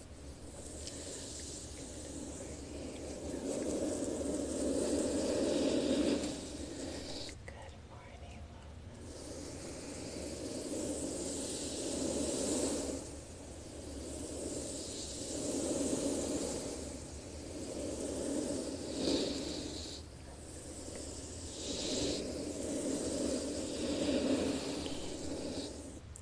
morning, Good morning,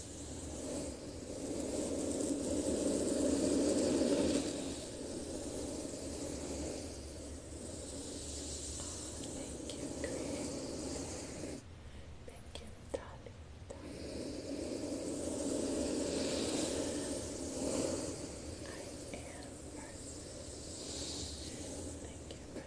Thank you, Greg. Thank you, Tali. I am. Thank you for the welcome. Thank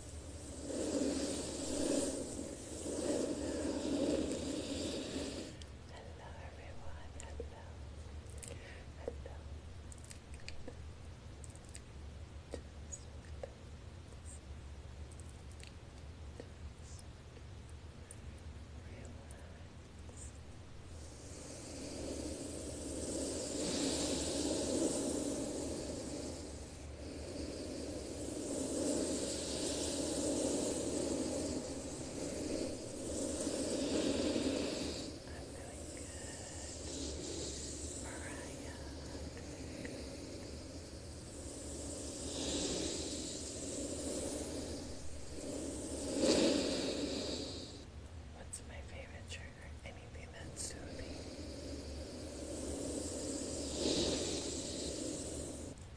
Hello everyone, hello, hello. Just relax. Just relax. Relax. What's my favorite trigger? Anything that's soothing.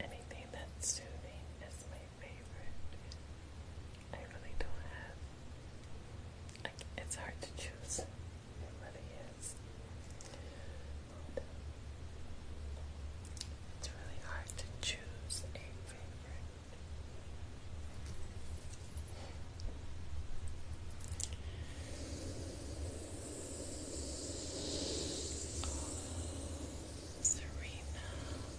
Anything that's soothing is my favorite. I really don't have. it's hard to choose. It really is. it's really hard to choose a favorite. Serena. Come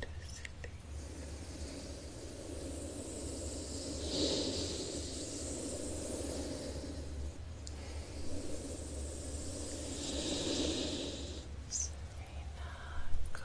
to sleep. Serena, go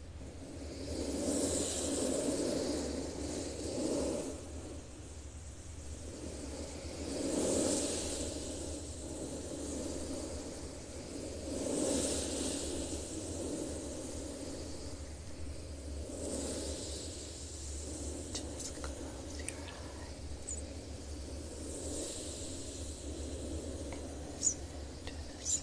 Just close your eyes and listen to the sound.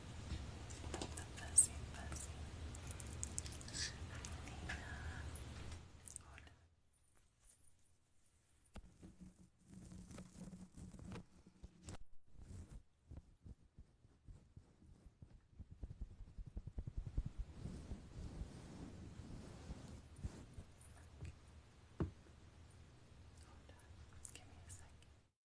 the fuzzy fuzzy Alina. Hold on, give me a second.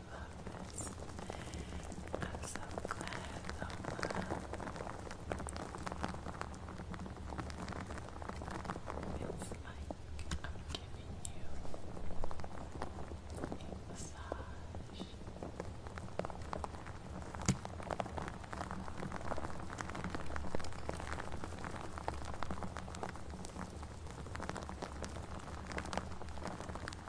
I'm so glad, It's like I'm giving you a massage.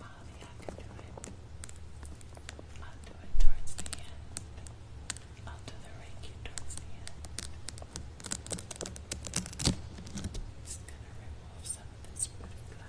Molly, I can do it. I'll do it towards the end. I'll do the Reiki towards the end. Just gonna remove some of this pretty blood.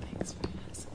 Thanks for asking.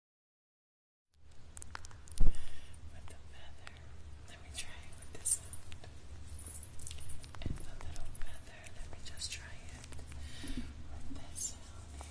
with the feather. Let me try with this sound. And the little feather, let me just try it with this sound here.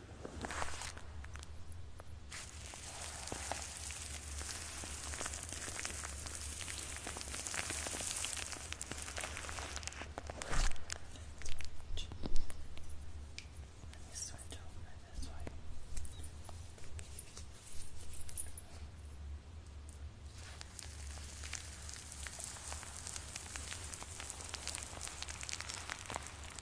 Let me switch over this way. Okay.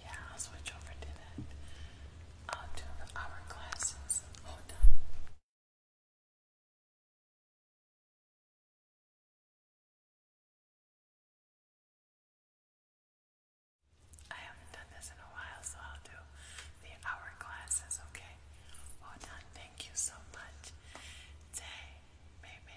Yeah, I'll switch over to that. I'll do the hourglasses. Hold on. I haven't done this in a while, so I'll do the hourglasses, okay? Hold on. Thank you so much. Day, maybe.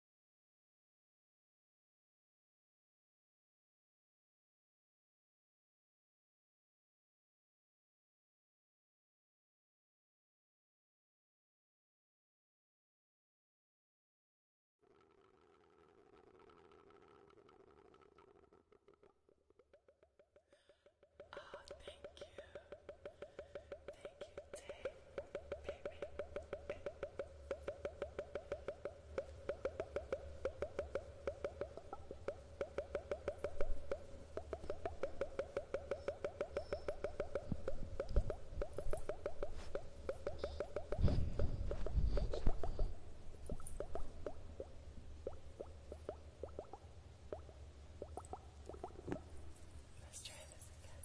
Oh, thank you. Thank you, Tay, baby. Let's try this again.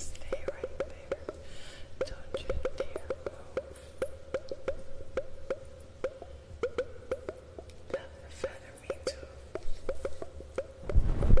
Stay right. Don't you dare move. That feather me Hi Raina.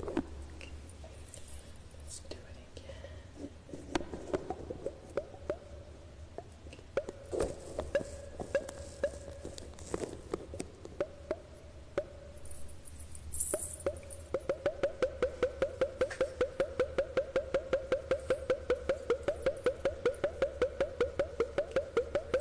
Okay. Let's do it again. Okay. Okay.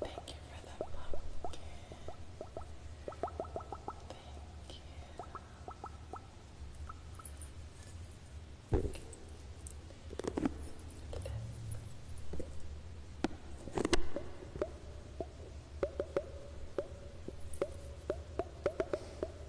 Thank you for the pumpkin. Thank you.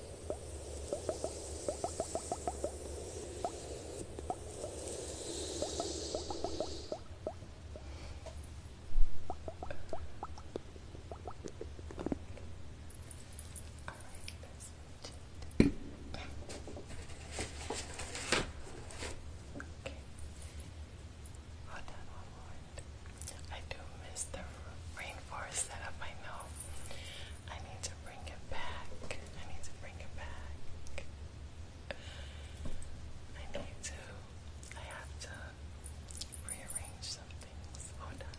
Okay. Hold on one moment. I do miss the rainforest up my know. I need to bring it back. I need to bring it back. I need to. I have to rearrange some things. Hold on.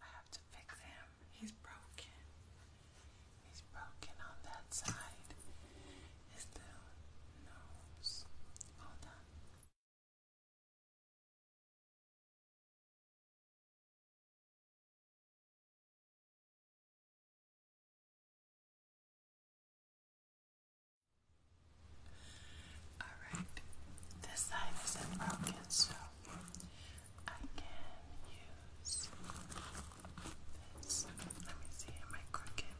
I have to fix him. He's broken. He's broken on that side. His little nose. Hold on. Alright, this side isn't broken, so I can use this. Let me see, am I crooked?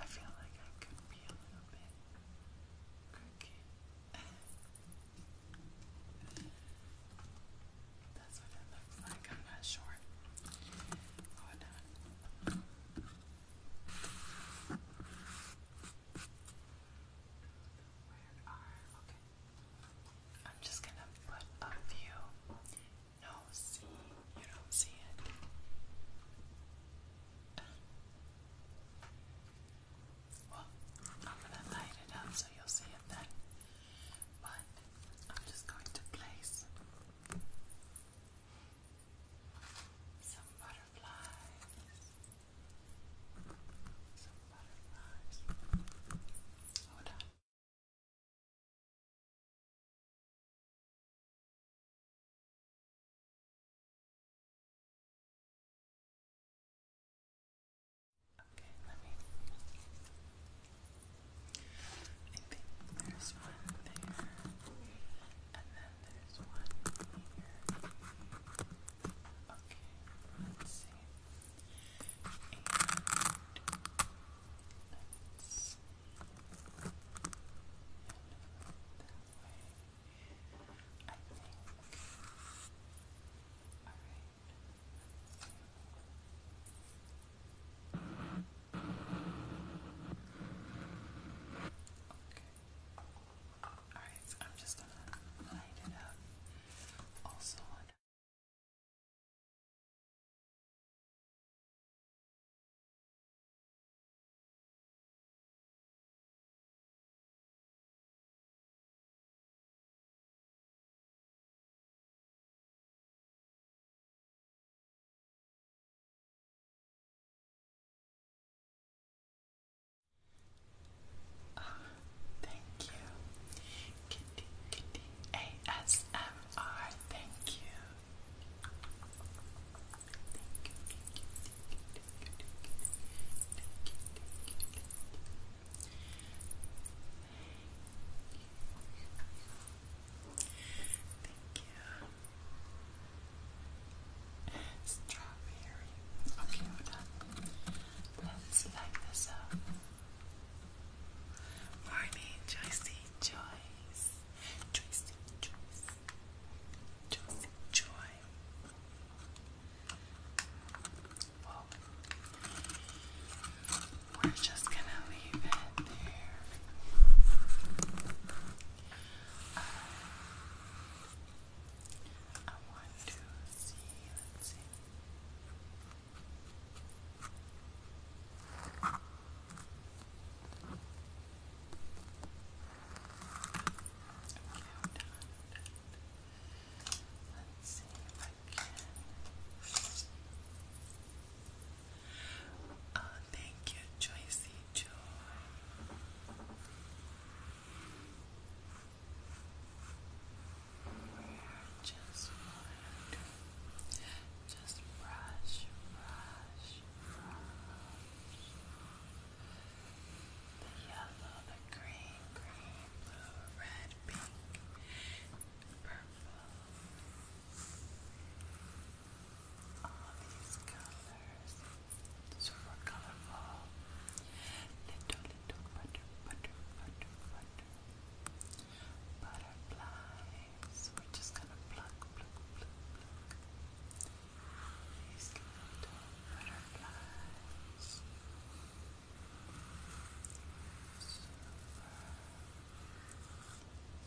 I feel like I could be a little bit crooked. I'm not sure. Oh, I'm just gonna put a few. No, see, you don't see it. Well, I'm gonna light it up so you'll see it then but I'm just going to place some butterflies. Some butterflies. Hold on. Okay, let me. I think there's one there, and then there's one here. Okay, let's see. And let's and that I think. Alright, Alright, so I'm just gonna light it up also uh, thank you. Kitty, kitty, ASMR. Thank you. Thank you. Strawberry. Okay, we're done. Let's light this up. Morning, Joycey Joyce. Joycey Joyce. Joycey Joy we're just gonna leave it there. Um, I want to see, let's see. Okay, I'm done. Let's see Oh, thank you, Joycey Joy. We're just want just brush, brush, brush. The yellow, the green, blue, red, pink purple. All these colors, super colorful. Little, little butter, butter, butter, butter. Butterflies. We're just gonna pluck, pluck, pluck, pluck. These little butterflies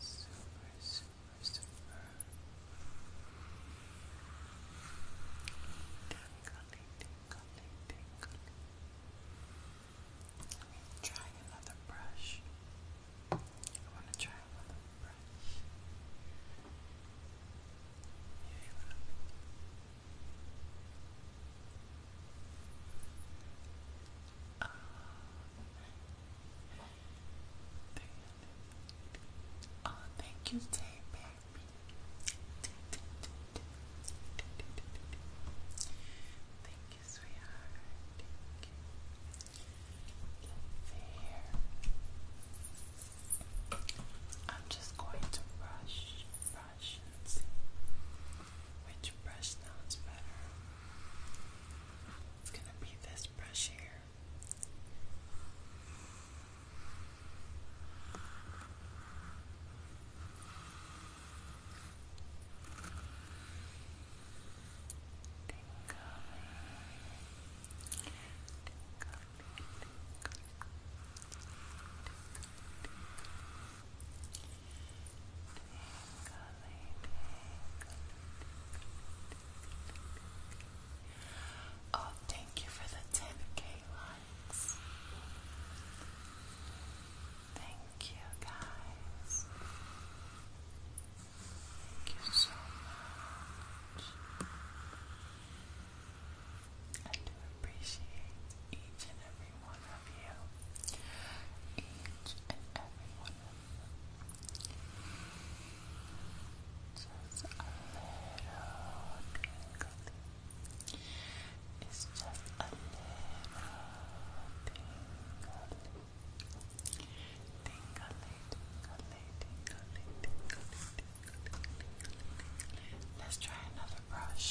super, super, super tingly, tingly, tingly let me try another brush I want to try another brush oh, thank you, baby. Thank you, sweetheart. Thank you. I'm just going to brush, which brush sounds better. It's gonna be this brush here. Oh, thank you for the 10k likes. Thank you, guys. Thank you so much. I do appreciate each and every every one you. Each and every one of Just a little tingly. It's just a little tingly. Tingly, tingly, tingly, tingly, tingly, tingly, tingly. Let's try another brush.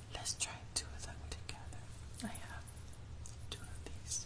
Let's try two of them together. I have two of these.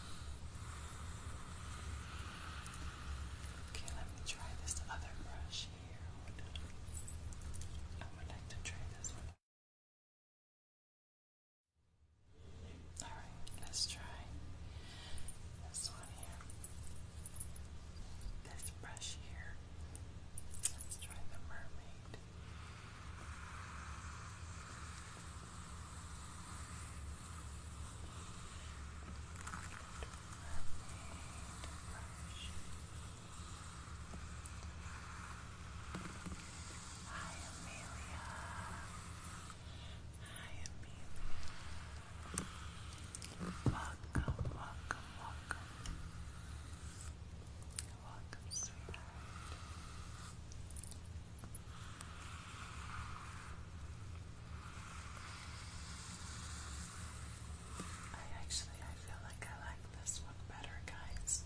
Okay, let me try this other brush here. I would like to try this one. Alright, let's try this one here. This brush here. Let's try the mermaid. Hi, Amelia. Hi, Amelia. Welcome, welcome, welcome. Welcome, sweetheart. I actually I feel like I like this one better, guys.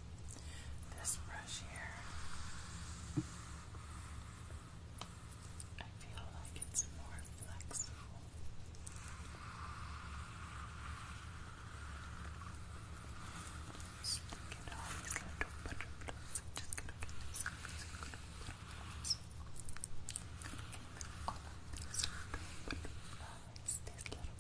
This brush here. I feel like it's more flexible. Stick it on a little bit of gloves. I'm just gonna get this out. So I'm gonna put gloves. All of these butterflies, these little pretty,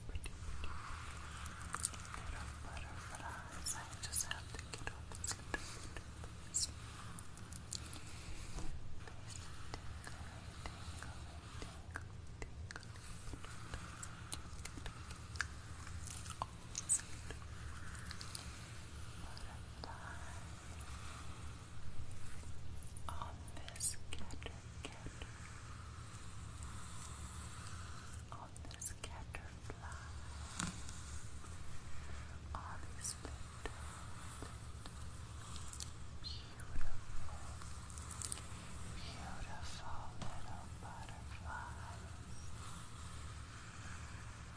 pretty little butterflies. I just have to get all these little butterflies. These tingle, tingle, tingle, tingle, tingle on this caterpillar. On this caterpillar, all these beautiful, beautiful little butterflies.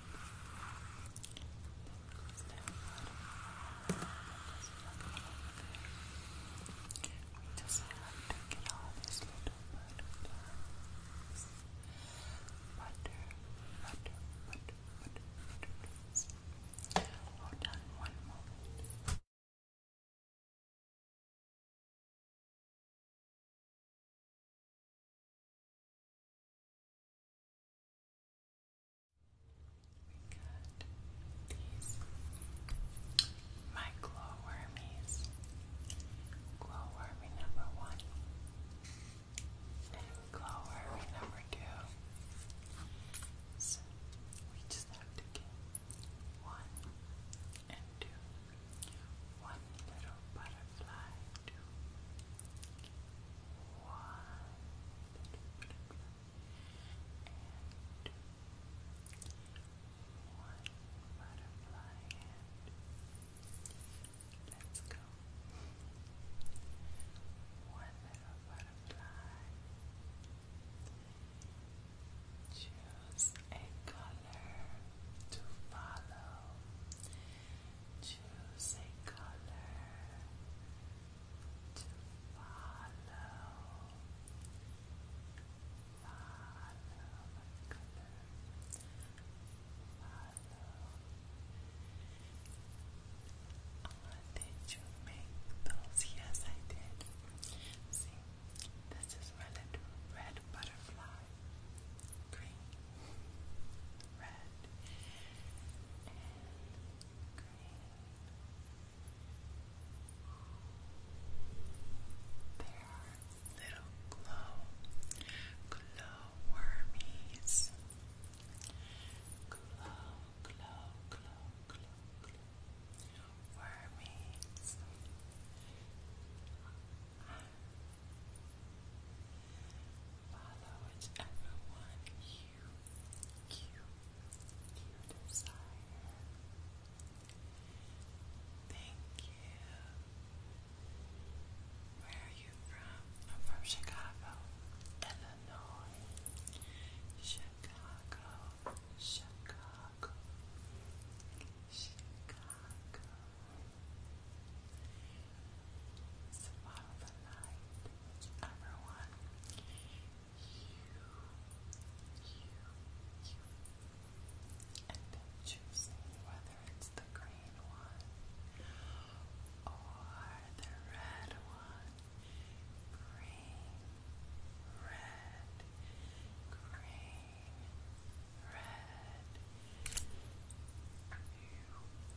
We just have to get all little butterflies. Butter, butter, butter, butter, butterflies. Hold on one moment. We got these glowwormies. Glowwormy number one and number two. So we just have to get one and two. One little butterfly, two butterfly and let's go. One little butterfly. Choose a color to follow. Choose a color to follow. Follow the color. Follow. Oh, did you make those? Yes, I did. See, this is red, red butterfly. Green, red, there are little glow, glow wormies. Glow, glow, glow, glow, wormies. Follow whichever you, you, you desire. Thank you. Where are you from? I'm from Chicago, Illinois. Chicago, Chicago, Chicago. So the light, whichever you, you, you, and choosing whether it's the green one or the red one. Green, red, green, red. You,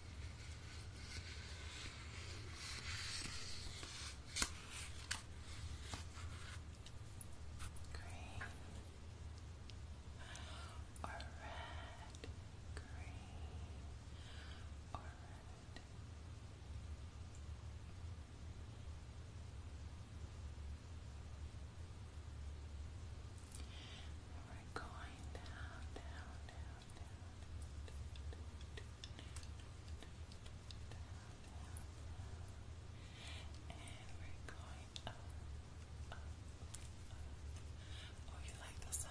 green or red, green or red. we're going down, down, down. And we're going up, Oh, you like the sound?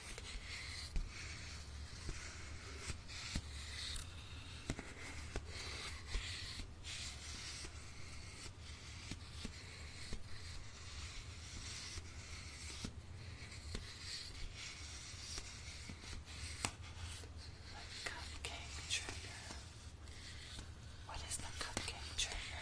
The cupcake trigger. What is the cupcake trigger?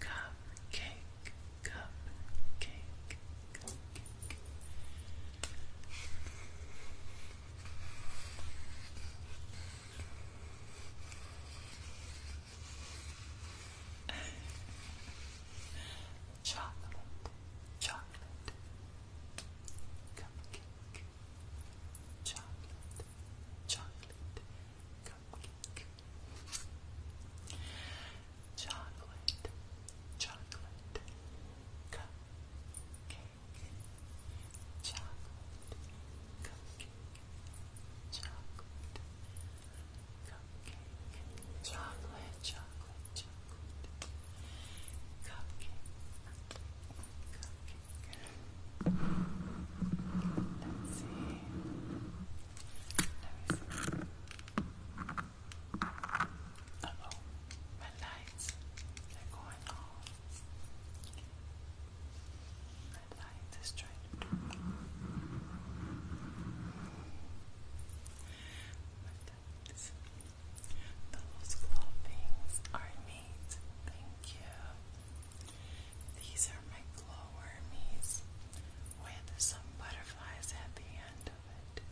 Cupcake, cupcake, cupcake, chocolate, chocolate, cupcake, chocolate, chocolate. Chocolate, chocolate, cupcake, chocolate, cupcake, chocolate, cupcake, chocolate, chocolate, chocolate, cupcake, cupcake, Let's see. Let me see. Uh oh, my lights are going off. My light is trying to do this. Those glow things are neat. Thank you. These are my glowwormies with some butterflies at the end of it.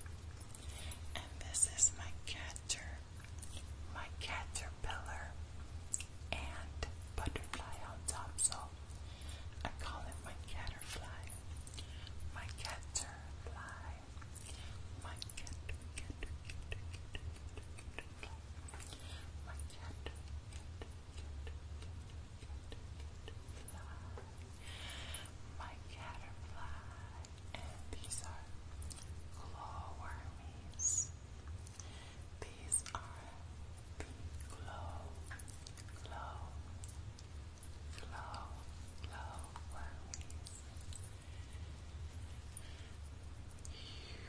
And this is my cater, my caterpillar, and butterfly on top. So I call it my caterfly, my caterfly, my cater, cater, cater, cater, cater, my cater, my caterpillar, and these are glowwormies. These are the glow, glow, glow, glowwormies. You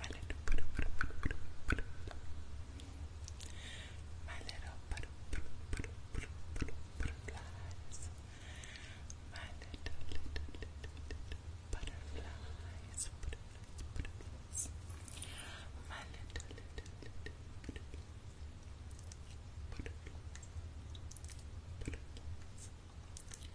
My little put put My little put butterflies. My little little little little butterflies. Butterflies, butterflies. My little little little butterflies. Butterflies. Butterflies.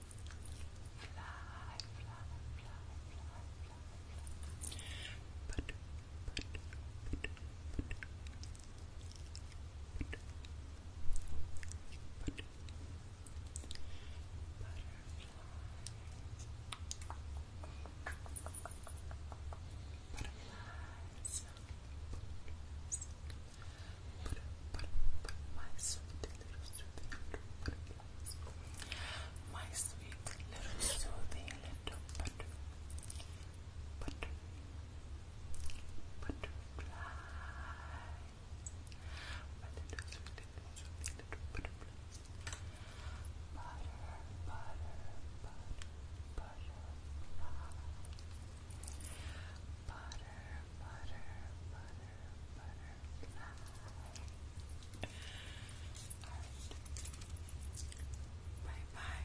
fly, fly, fly, fly, fly. But, but, but, but. But, butterflies, butterflies, butterflies, but, but, my sweet little sweet little soothing little butter. Butter. Butterflies. My little sweet little butter, butter, butter, butterfly. Alright. Bye bye.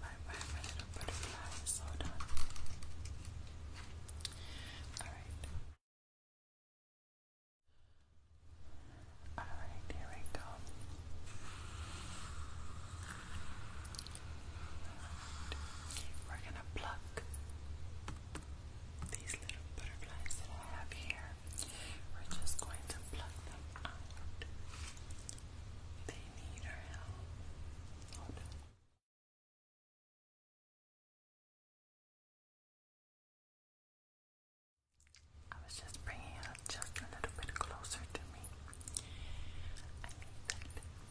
Bye bye, my little butterfly. So done. Alright. Alright, here we go. We're gonna pluck these little butterflies that I have here. We're just going to pluck them out. They need our help. I was just bringing it just a little bit closer to me. I need that.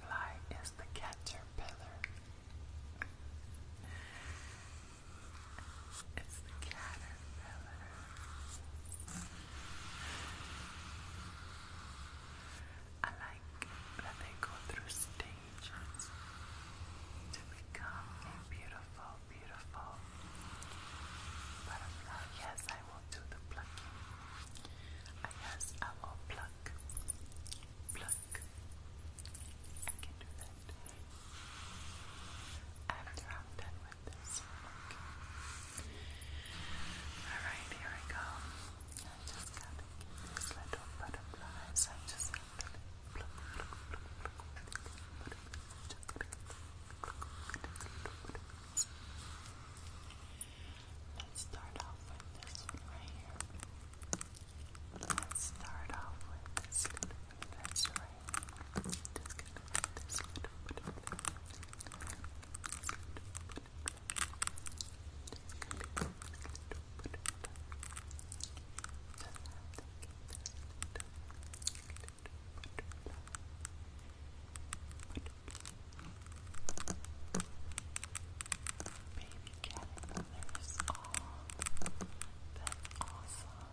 butterfly is the caterpillar. It's the caterpillar. I like that they go through stages to become a beautiful, beautiful butterfly. Yes, I to the plucking. I I will pluck, pluck. I can do that. After I'm done with this Alright, here we go. I just gotta get these little butterflies. I just have to pluck, pluck, pluck, pluck. Just gotta get these little butterflies. Alright, Let's start off with this one right here. Let's start off with this little bit of this right here. Just gonna put this little bit of this. This little bit of this. Just gonna put this little bit of this. Just have to get this little, little bit of this. Put Baby cat there's all that's awesome.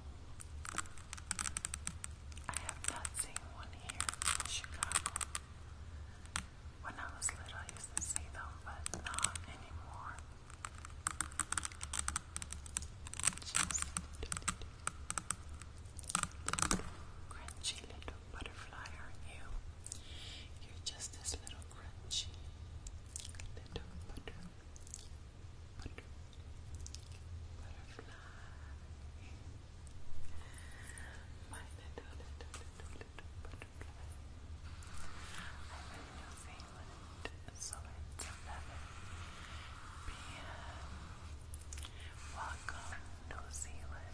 I have not seen one here in Chicago. When I was little I used to see them, but not anymore. Just crunchy little butterfly, aren't you? You're just this little crunchy little butterfly. My little, little, little, little butterfly. I'm in New Zealand, so it's p.m. Welcome, New Zealand.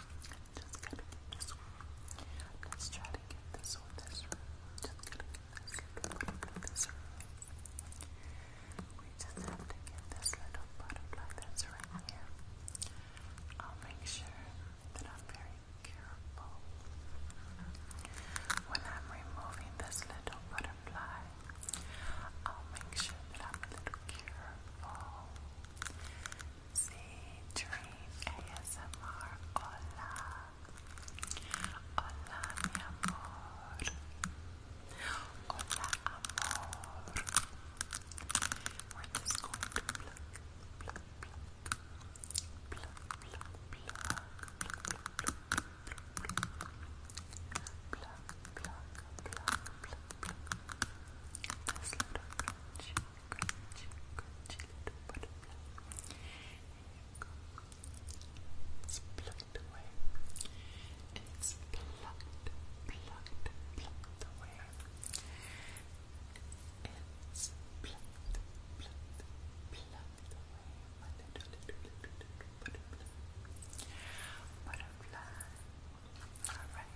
just gonna get this one. Let's try to get this one. This one. Just gonna get this one. We just have to get this little butterfly that's right here. I'll make sure that I'm very careful when I'm removing this little butterfly. I'll make sure that I'm a little careful Z Dream ASMR. Hola. Hola, mi amor. Hola, amor. we going to pluck, crunchy, you It's plucked away. It's plucked, plucked, plucked away. It's plucked, plucked, plucked away. butterfly. Alright.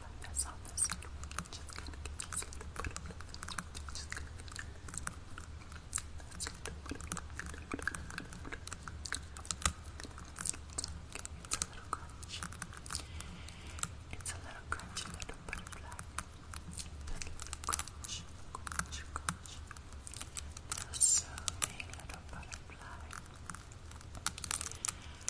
like this It's a little crunchy. It's a little crunchy little butterfly. This little crunch, crunch, so little butterfly.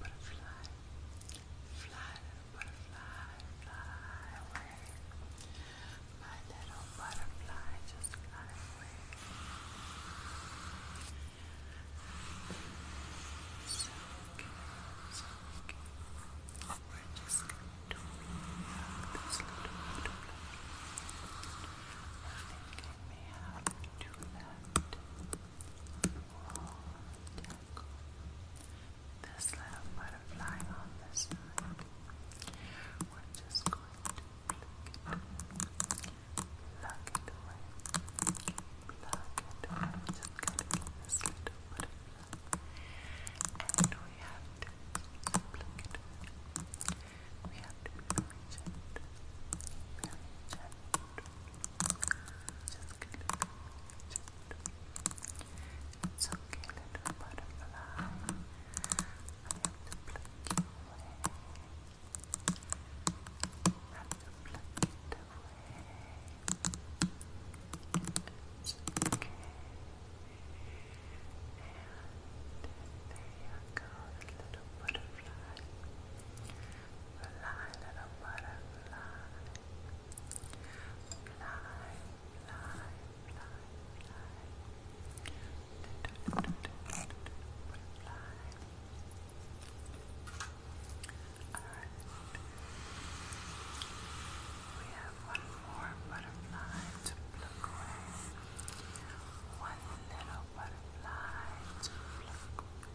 Butterfly, fly, butterfly, fly away. My little butterfly just fly away. So cute, We're just going to rehab this little butterfly. Nothing can be to that roll, tackle this little butterfly on the side. We're just going to pluck it, pluck it away, pluck it away. We're just going to this little butterfly, and we have to pluck it We have to be very gentle, very gentle. Just a little, butterfly. I have to you away. I have to away. And there you go, the little butterfly. Fly, little butterfly. Fly, fly, fly, fly. We have one more butterfly to pluck away. One little butterfly to pluck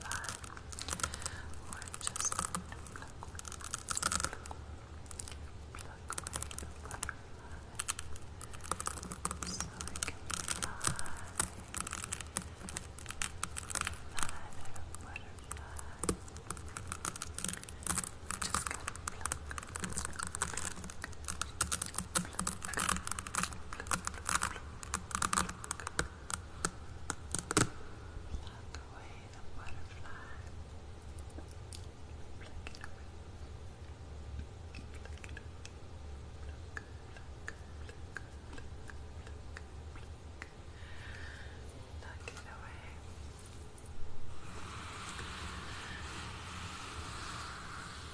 butterfly or just pluck away, pluck it Pluck away the butterfly. Pluck it away. Pluck it away. Pluck, pluck, pluck, pluck, pluck, pluck. Pluck it away. Pluck, pluck, pluck, pluck,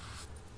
pluck, pluck,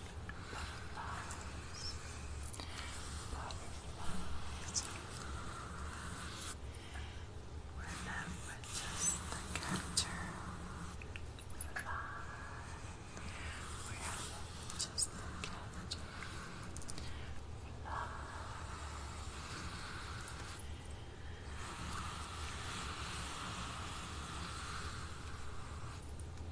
butterflies, butterflies. Remember the catcher, fly. Remember just the catcher,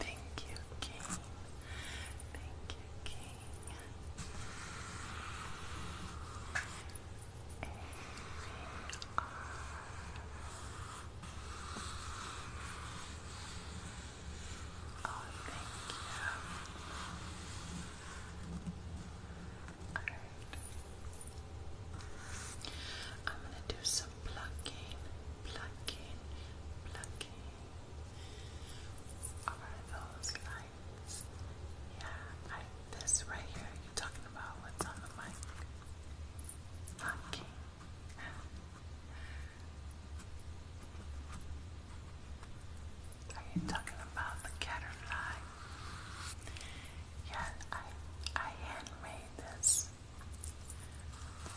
Thank you, King. Thank you, King thank you. I'm gonna do some plucking, plucking, plucking. Over those lines. Yeah, this right here, you're talking about what's on the mic. Not Are you talking about the caterpillar? Yeah, I I handmade this.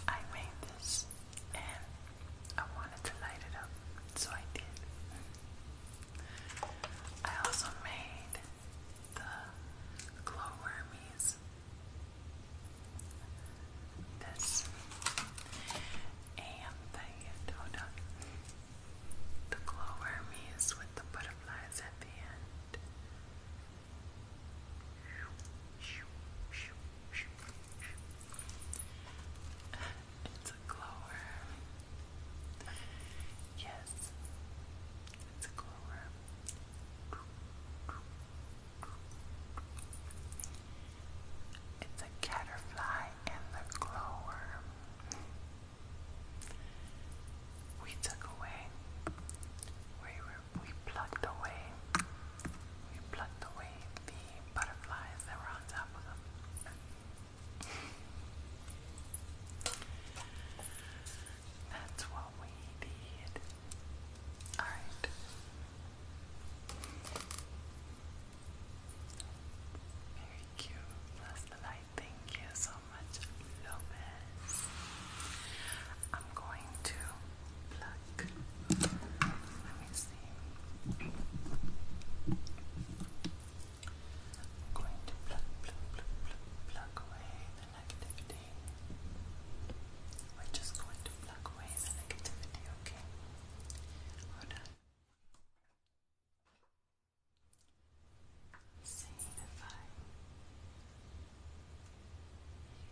I made this and I wanted to light it up, so I did. I also made the glowwormies. This and the Yododa. with the butterflies at the end. It's a glowworm. Yes, it's a glow It's a caterfly and the glowworm. We took away. We were, we plucked away. We plucked away the butterflies that were on top of them. That's what we need. Alright. Very cute. Bless the light. Thank you so much, Lopez. I'm going to pluck. Let me see. I'm going to pluck, pluck, pluck, pluck, pluck away the negativity. We're just going to pluck away the negativity, okay? Hold on. See if I.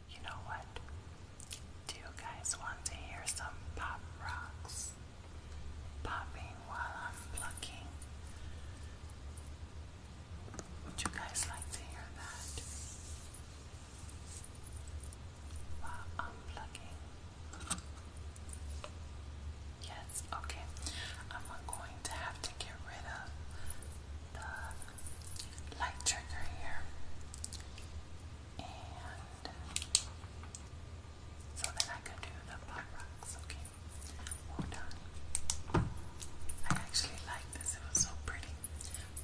You know what? Do you guys want to hear some pop rocks popping while I'm plucking? Would you guys like to hear that? While unplugging. Yes, okay. I'm going to have to get rid of the light trigger here. And so that I can do the pop rocks, okay? Well done. I actually like this, it was so pretty.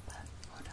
But well done.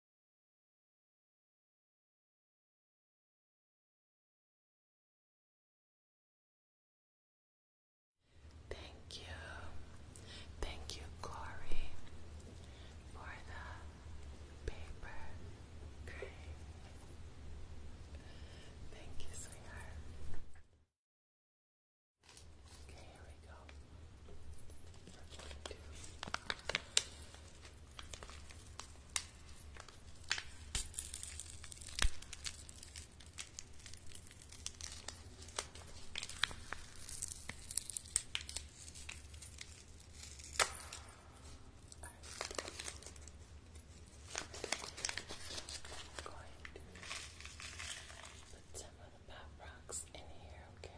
Thank you. Thank you, Corey, for the paper crane. Thank you, sweetheart. Okay, here we go. We're I'm going to put some of the pop rocks in here, okay?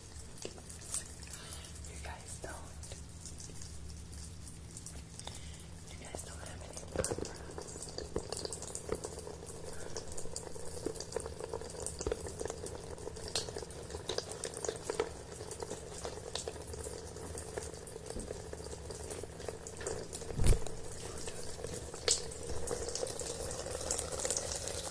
You guys don't. You guys don't have any love for us. Thank you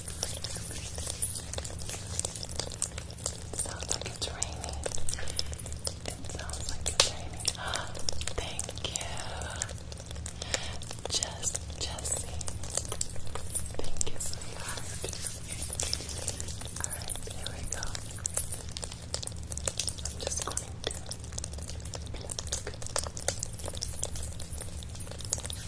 Sounds like it's raining. It sounds like it's raining. thank you. Jesse. Thank you, sweetheart. Alright, here we go. I'm just going to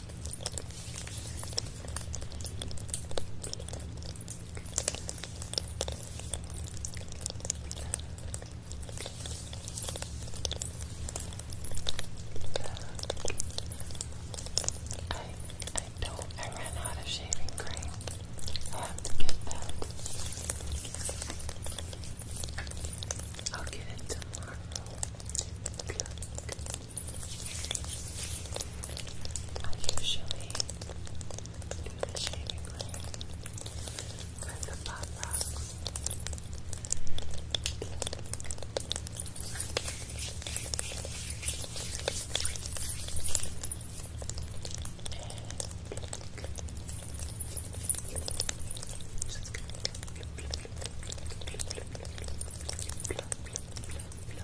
I I don't I ran out of shaving cream. i have to get that. I'll get it tomorrow. I usually do the shaving cream with the butt rocks. And Thank you, Jay.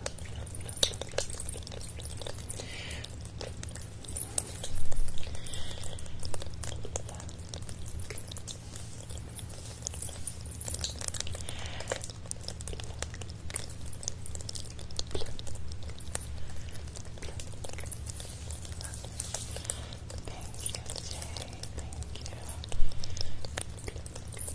Thank you.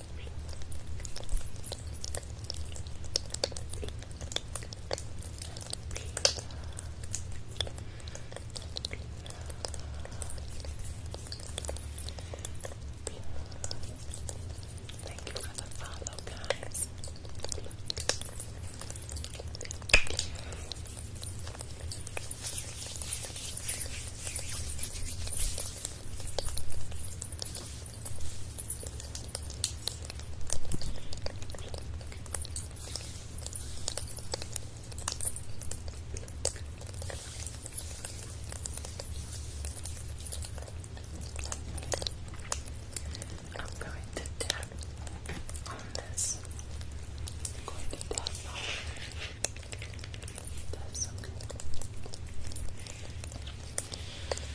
Thank you for the follow, guys. Thank I'm going to tap on this. I'm going to tap on it. That's okay.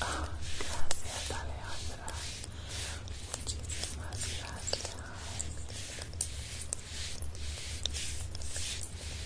Ah, gracias Alejandra, muchísimas gracias.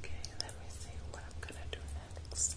Okay, let me see what I'm gonna do next.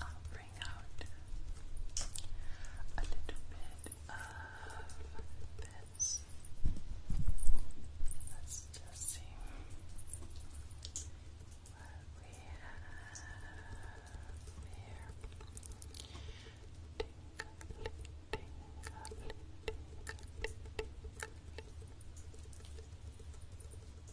I'll bring out a little bit of this. Let's just see what we have here. Tinkly, tinkly, tinkly,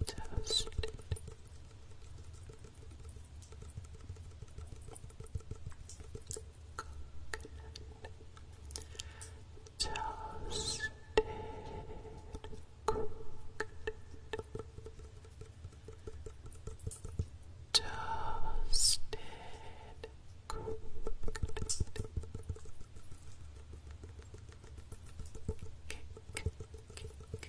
Fantastic. Coconut toasted, cooked, toasted, cooked, kick, kick,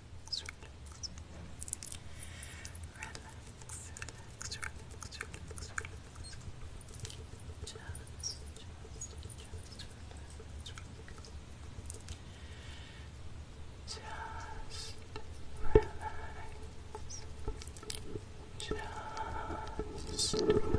relax, relax. Just, relax. Just relax. Just relax. Just relax.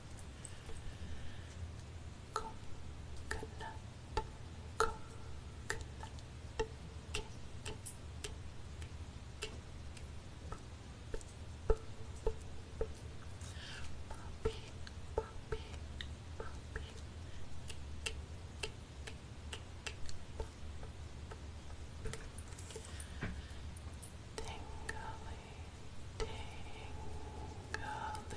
Coconut, coconut, cake, cake, cake, Poppy, poppy, poppy, cake, cake, cake, Tingly, tingly, tingly,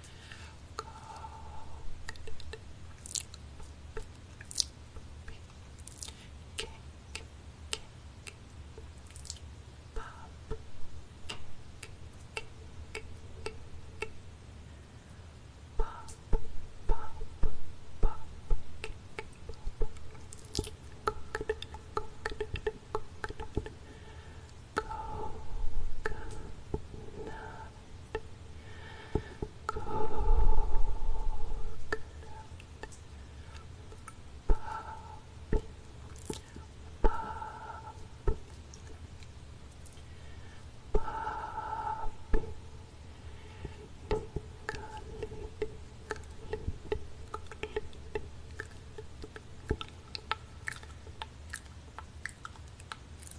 Go. Cake, cake, pop, cake, cake, cake, cake, pop, pop, pop, cake, pop, coconut, coconut, coconut, coconut, coconut, Puppy,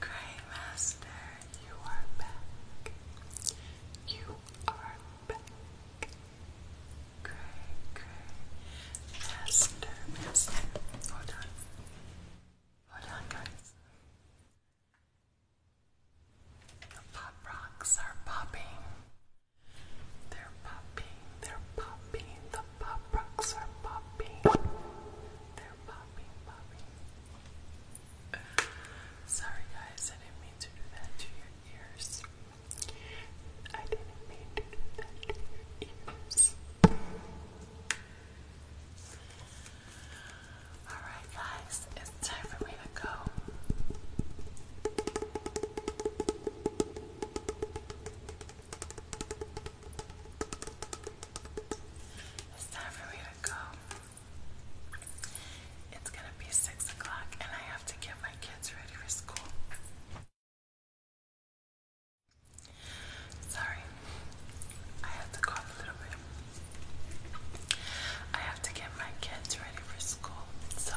Grey you are back. You are back. Grey, Hold on. Hold on, guys. The pop rocks are popping. They're popping, they're popping. The pop rocks are popping. They're popping, Sorry, guys, I didn't mean to do that to your ears. I didn't mean to do that to your ears. Alright, guys, it's time for me to go. It's time for me to go. It's gonna be six o'clock, and I have to get my kids ready for school. Sorry, I have to cough a little bit. I have to get my kids ready for school, so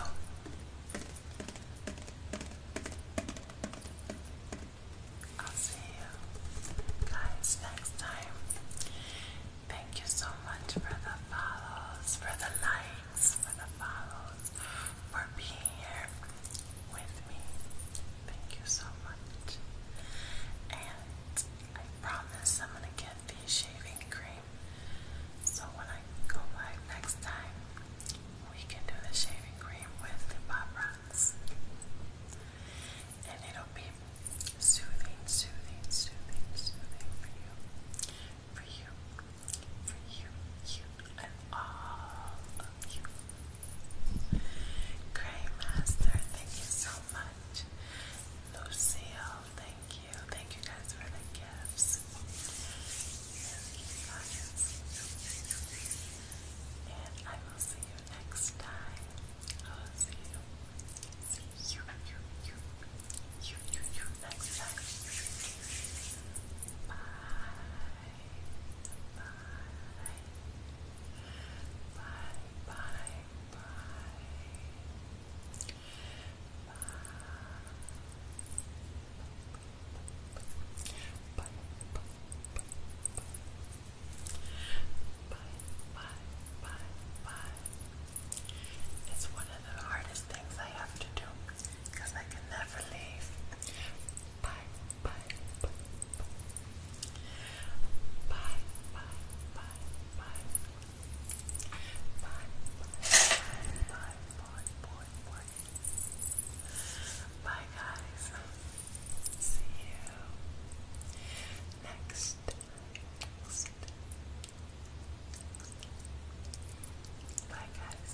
I'll see you guys next time. Thank you so much for the follows, for the likes, for the follows, for being here with me. Thank you so much. And I promise I'm gonna get the shaving cream. So when I go live next time, we can do the shaving cream with the pop And it'll be soothing, soothing, soothing, soothing for you. For you. For you, you, and all of you. Grey Master, thank you so much. Lucille, thank you. Thank you guys for the gifts. Thank And I will see you next time. I will see you. See you, you, you, you, you, you next time. Bye. Bye. Bye. Bye. It's one of the hardest things I have to do because I can never leave. Bye, bye, bye, bye. Bye, bye, bye, bye, bye, bye, bye. Bye, guys. See you next next Bye, guys.